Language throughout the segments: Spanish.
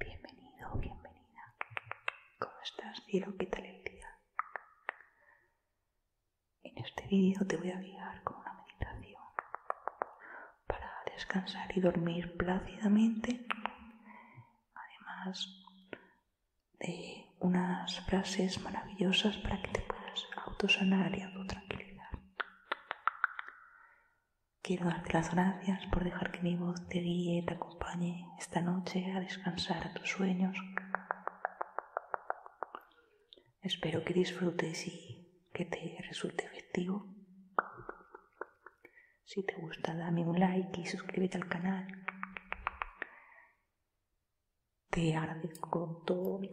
Bienvenido, bienvenida. ¿Cómo estás, cielo? ¿Qué tal el día? En este vídeo te voy a guiar con una meditación para descansar y dormir plácidamente. Además de unas frases maravillosas para que te puedas autosanar y autotranquilizar. Quiero darte las gracias por dejar que mi voz te guíe y te acompañe esta noche a descansar a tus sueños. Espero que disfrutes y que te resulte efectivo. Si te gusta, dame un like y suscríbete al canal. Te agradezco con todo mi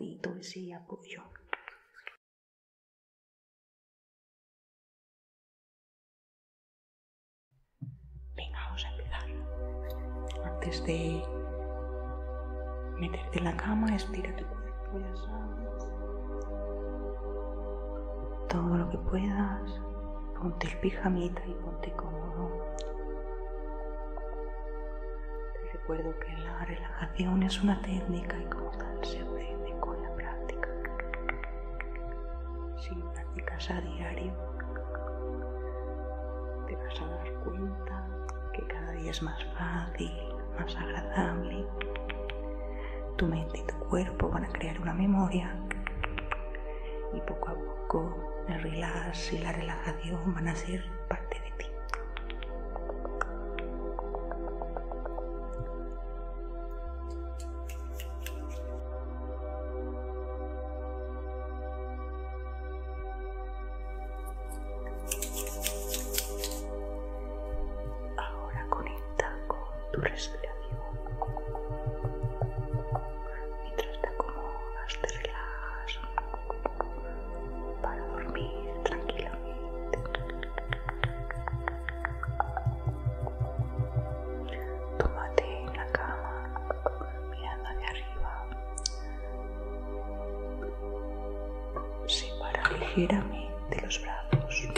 y ese apoyo. Venga, vamos a empezar. Antes de meterte en la cama, estira tu cuerpo, ya sabes. Todo lo que puedas. Ponte el pijamita y ponte cómodo. Te recuerdo que la relajación es una técnica y como tal se aprende con la práctica. Si practicas a diario, te vas a dar cuenta que cada día es más fácil, más agradable. Tu mente y tu cuerpo van a crear una memoria y poco a poco el relax y la relajación van a ser parte de ti. Ahora conecta con tu respiración. Mientras te acomodas, te relajas para dormir tranquilamente. Tómate en la cama, mirando hacia arriba. Separa ligeramente los brazos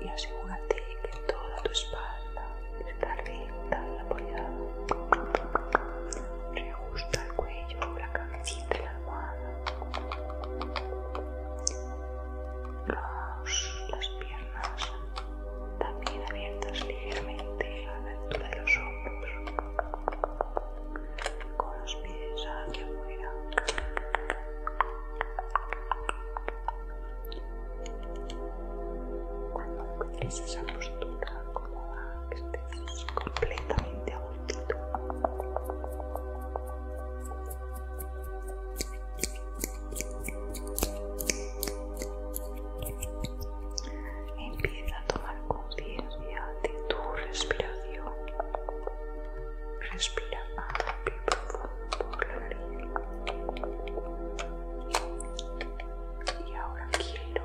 y asegúrate que toda tu espalda está recta y apoyada. Reajusta el cuello, la cabeza las piernas también abiertas ligeramente a la altura de los hombros, con los pies hacia afuera. Cuando encuentres esa postura cómoda, que estés completamente Empieza a tomar conciencia de tu respiración. Respira hondo y profundo por Y ahora quiero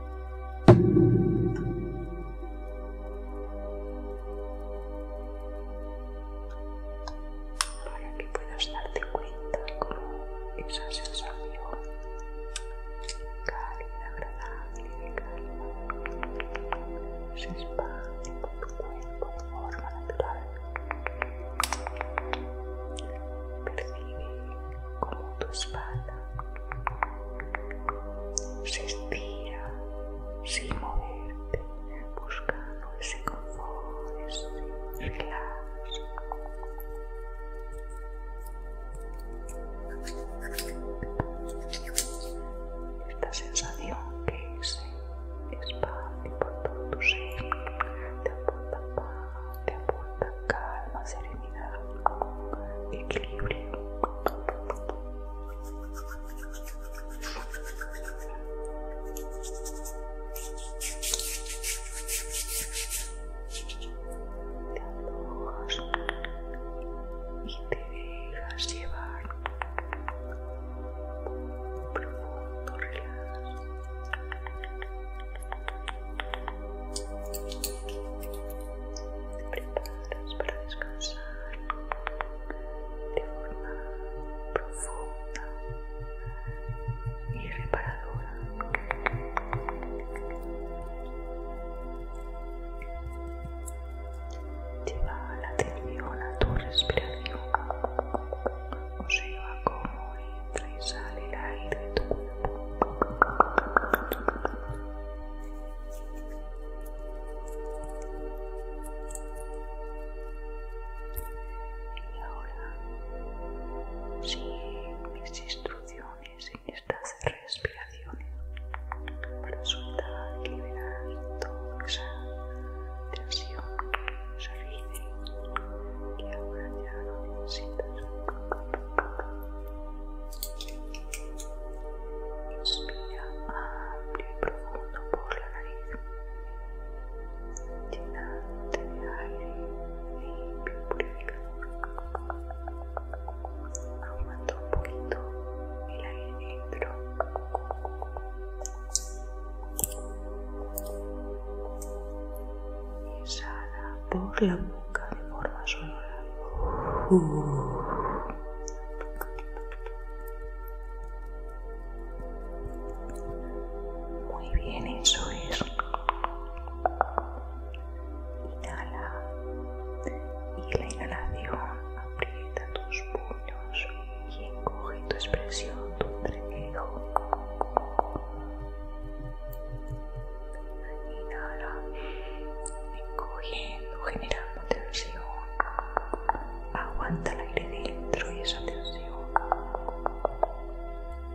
para que puedas darte cuenta cómo esa sensación cálida, agradable, calma se expande por tu cuerpo de forma natural. Percibe como tu espalda se estira, sin moverte, buscando ese confort, ese relax. Esta sensación que es espacio por todo tu ser te aporta paz, te aporta calma, serenidad, equilibrio te alojas y te dejas llevar un profundo relajo. Te preparas para descansar de forma profunda y reparadora. Lleva la atención a tu respiración, observa cómo entra y sale el aire de tu y ahora sigue mis instrucciones en estas respiraciones para soltar liberar toda esa tensión que que y ahora ya no necesitas Inspira amplio y profundo por la nariz, llenante de aire limpio y purificador. Aumenta un poquito el aire dentro. exhala por la boca de forma sonora. Muy bien, eso es. Inhala. Y la inhalación aprieta tus puños y encoge tu expresión, tu entrecejo. Inhala, encogiendo, generando Aguanta el aire dentro y esa tensión.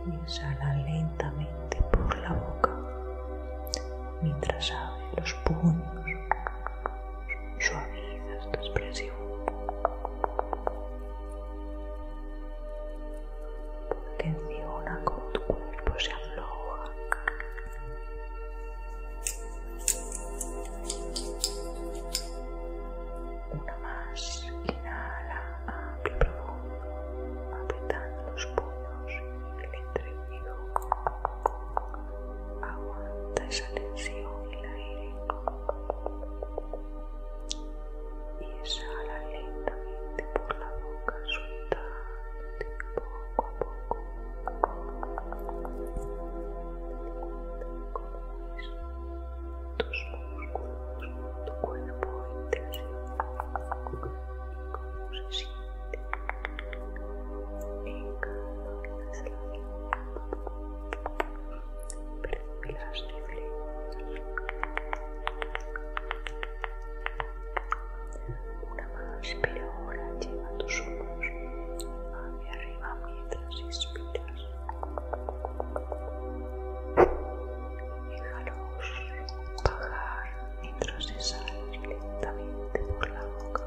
Y exhala lentamente por la boca mientras abre los puños. Suaviza esta expresión. Atención a cómo tu cuerpo se afloja. Una más, inhala, amplio profundo, apretando los puños y el entrecejo. Aguanta esa tensión y el aire. Y exhala lentamente por la boca, suelta poco a poco. tus músculos, tu cuerpo interior y cómo se siente en cada exhalación. Percibe las diferencias Una más, pero ahora, lleva tus hombros hacia arriba mientras inspiras. Déjalos bajar mientras exhalas lentamente por la boca.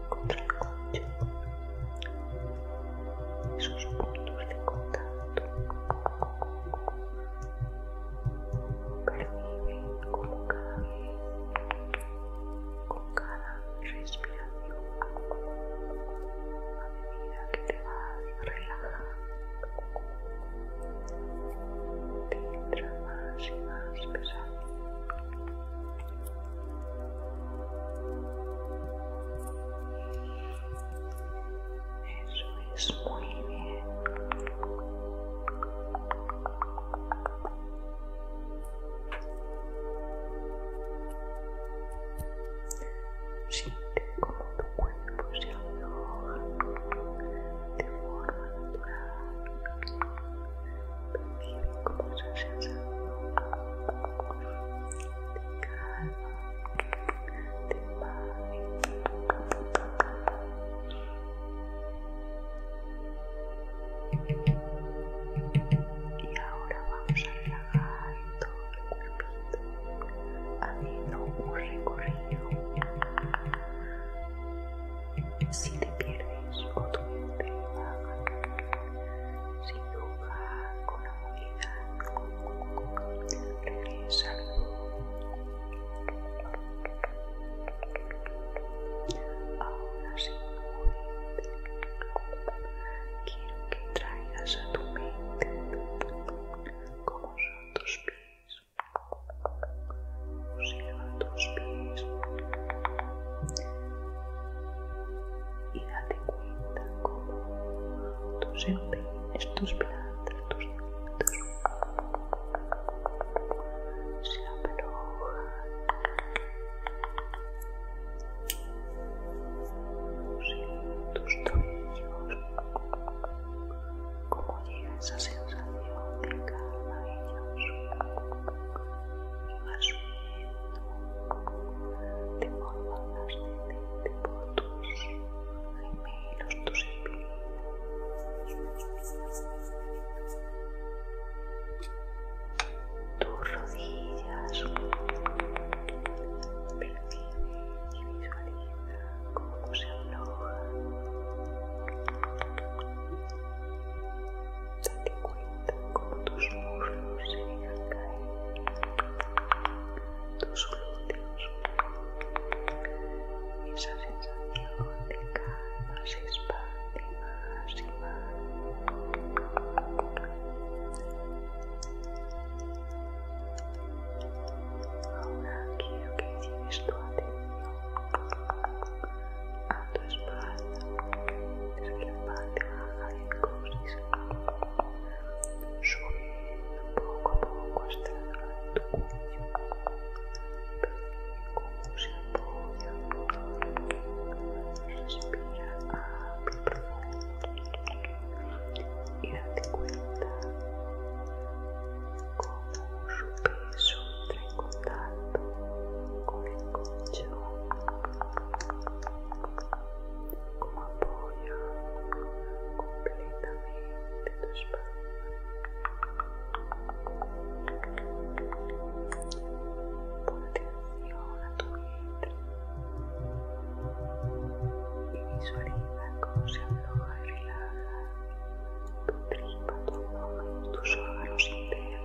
contra el coche. Esos puntos de contacto. perviven como cada vez, con cada respiración, a medida que te va vas relajando, te entra más y más pesado. Eso es muy bien. Siente como tu cuerpo se aloja de forma natural percibe como esa sensación de calma, de paz. de Y ahora vamos a relajar todo el cuerpito, haciendo un recorrido. Si te pierdes o tu mente baja, sin lugar, con la amabilidad, regresa al Ahora sí, quiero que traigas a tu mente como son tus pies. tus pies y date cuenta cómo tus empeines, tus plantas, tus deditos se aflojan, tus tobillos, cómo llega esa sensación de calma y más de forma ascendente por tus gemelos, tus espíritus tus rodillas. Percibe y se aflojan. Date cuenta con tus muslos se dejan caer, tus glúteos, esa sensación de calma se expande más y más. Ahora quiero que lleves tu atención a tu espalda, desde la parte baja rincones. Subiendo poco a poco hasta el lado de tu cuello. Percibe cómo se apoya Respira amplio y profundo. Y date cuenta cómo su peso entra en contacto con el colchón como apoya completamente tu espalda. Pon atención a tu vientre y visualiza cómo se afloja y relaja tu tripa, tu abdomen, tus órganos internos.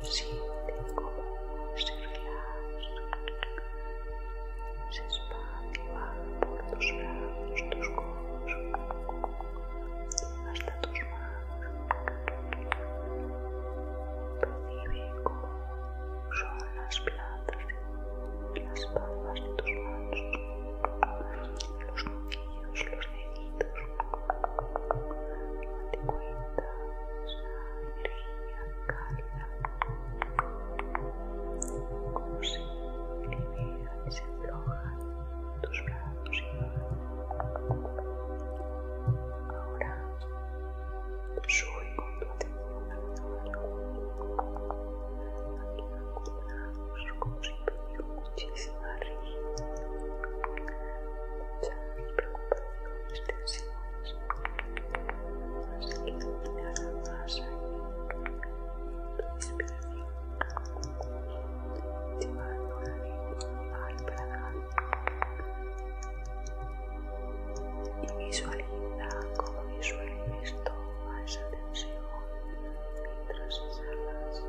Siente cómo se relaja, se va por tus brazos, tus codos, hasta tus manos. Percibe cómo son las plantas, las palmas de tus manos, los moquillos, los deditos. Date cuenta de esa energía caliente vida, como se alivia y se aflojan tus brazos y manos. Ahora sube con tu atención a al cuerpo. Aquí acumulamos como si tuviera muchísima rigidez, muchas preocupaciones, tensiones. Así que tú te agarras ahí en tu inspiración, llevando la lengua al paladar y visualiza cómo disuelves toda esa tensión mientras exhalas.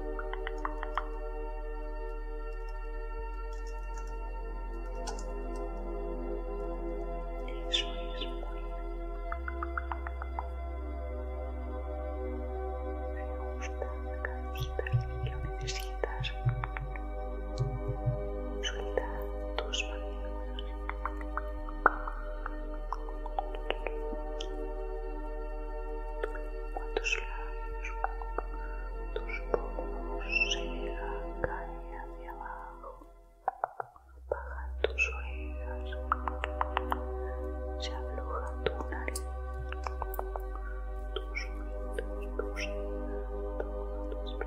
es muy Me gusta cada que lo necesitas. Suelta tus manos. Tus labios, tus pomos se caen hacia abajo. bajan tus orejas, se tu nariz, tus oídos, tus orejas,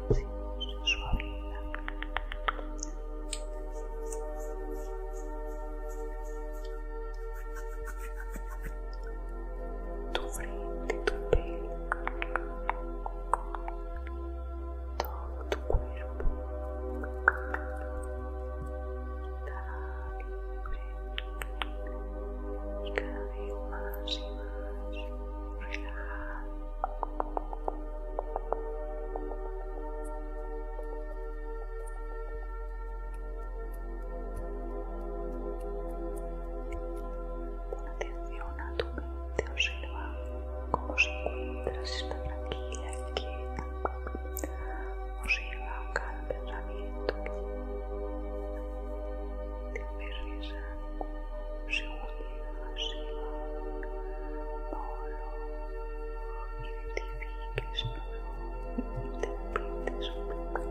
tus Tu frente, tu piel, todo tu cuerpo y cada vez más y más relajado atención a tu mente, observa cómo se encuentra, si está tranquila, quieta, observa cada pensamiento que te aterriza, se une, se va, no lo identifiques, no lo interpretes, no lo interpretes.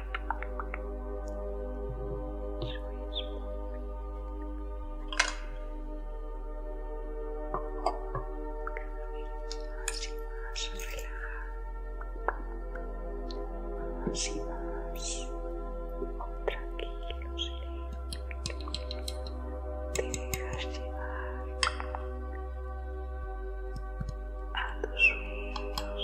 y más relajado, y más tranquilo, sereno. Te dejas llevar a los sueños.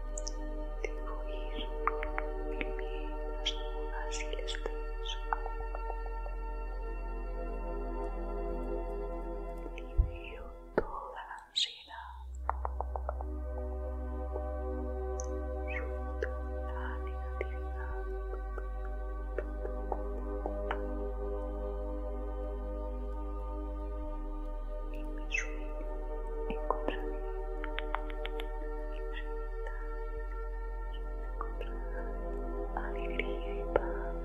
ir huir el miedo, las dudas y el estrés. Libero toda la ansiedad, suelto la negatividad mi sueño encontraré felicidad, alegría y paz.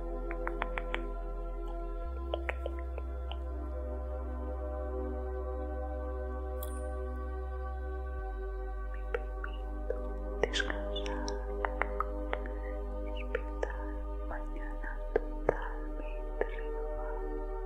Me permito descansar, despertar mañana totalmente renovado.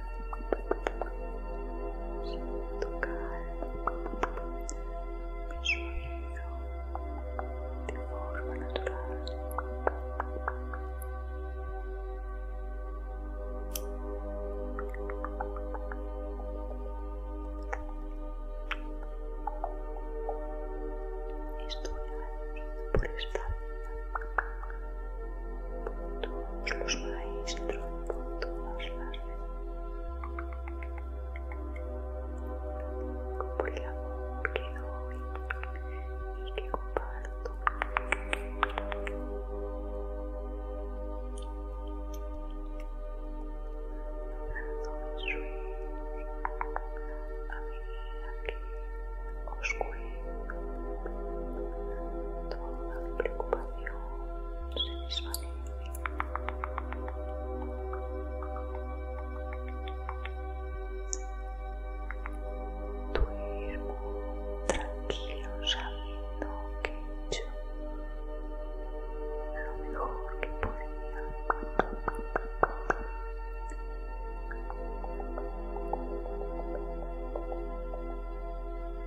siento calma, mi sonido de forma natural. Estoy agradecido por esta vida todos los maestros, con todas las por el amor que doy y que comparto. que Toda preocupación se desvanece. Duermo tranquilo sabiendo que he hecho lo mejor que podía.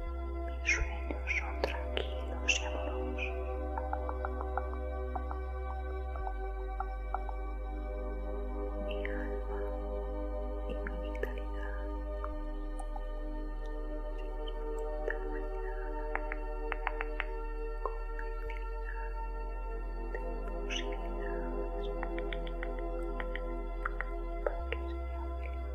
Mis sueños son tranquilos y amorosos. Mi alma y mi vitalidad. Con de posibilidades para que sea feliz.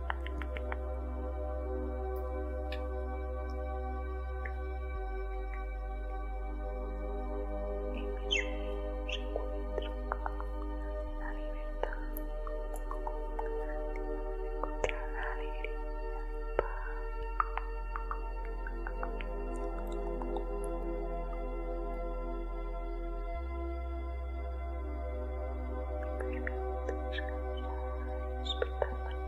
En mis sueños encuentro la libertad, encontrar la alegría y paz. Me permito descansar y despertar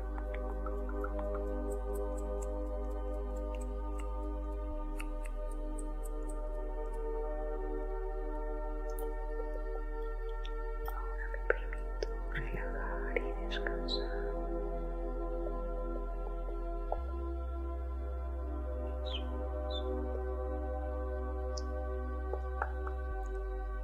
Ahora me permito relajar y descansar.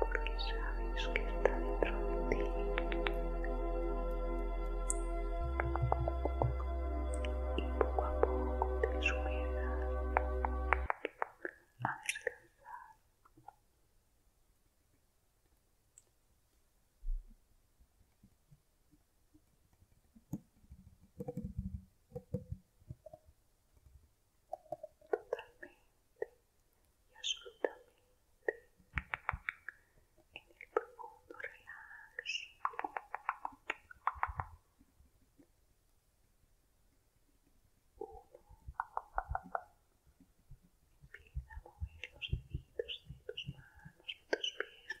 porque sabes que está dentro de ti y poco a poco te subirás a descansar totalmente y absolutamente en el profundo relax. Uno empieza a mover los deditos de tus manos, de tus pies.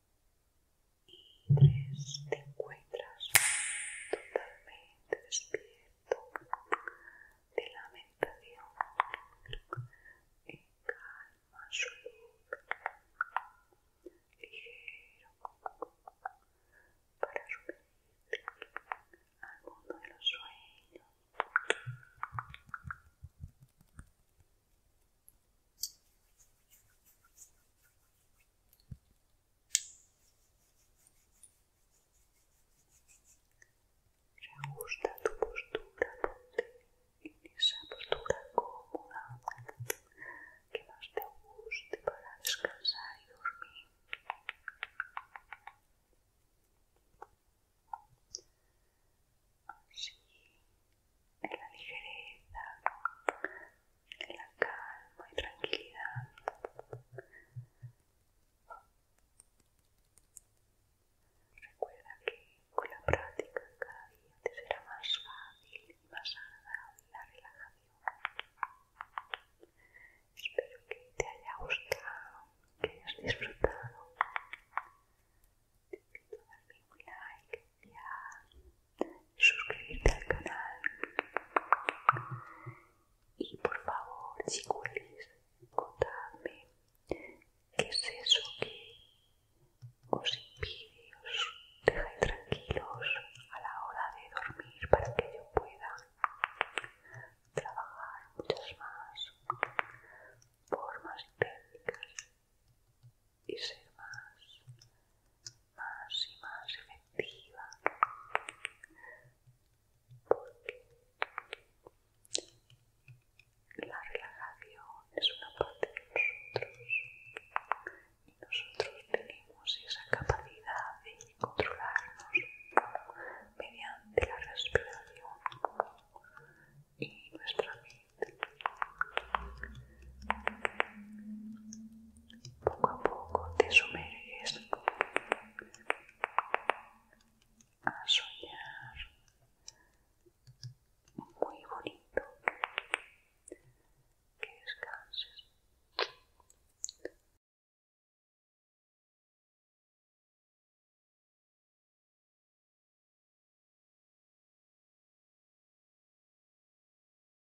y tres te encuentras totalmente despierto de la meditación en calma absoluta para subirte al de los sueños gusta tu postura, ponte en esa postura cómoda que más te guste para descansar y dormir. Así, en la ligereza en la calma y tranquilidad. Recuerda que con la práctica cada día te será más fácil y más agradable la relajación. Espero que te haya gustado, que hayas disfrutado. Te invito a darle un like, suscribirte al canal y por favor si contadme qué es eso que os impide os dejáis tranquilos a la hora de dormir para que yo pueda trabajar muchas más formas y técnicas y ser más más y más efectiva porque la relajación es una parte de nosotros y nosotros tenemos esa capacidad de controlarnos mediante la respiración y nuestra mente poco a poco te sumerges a soñar muy bonito que descanses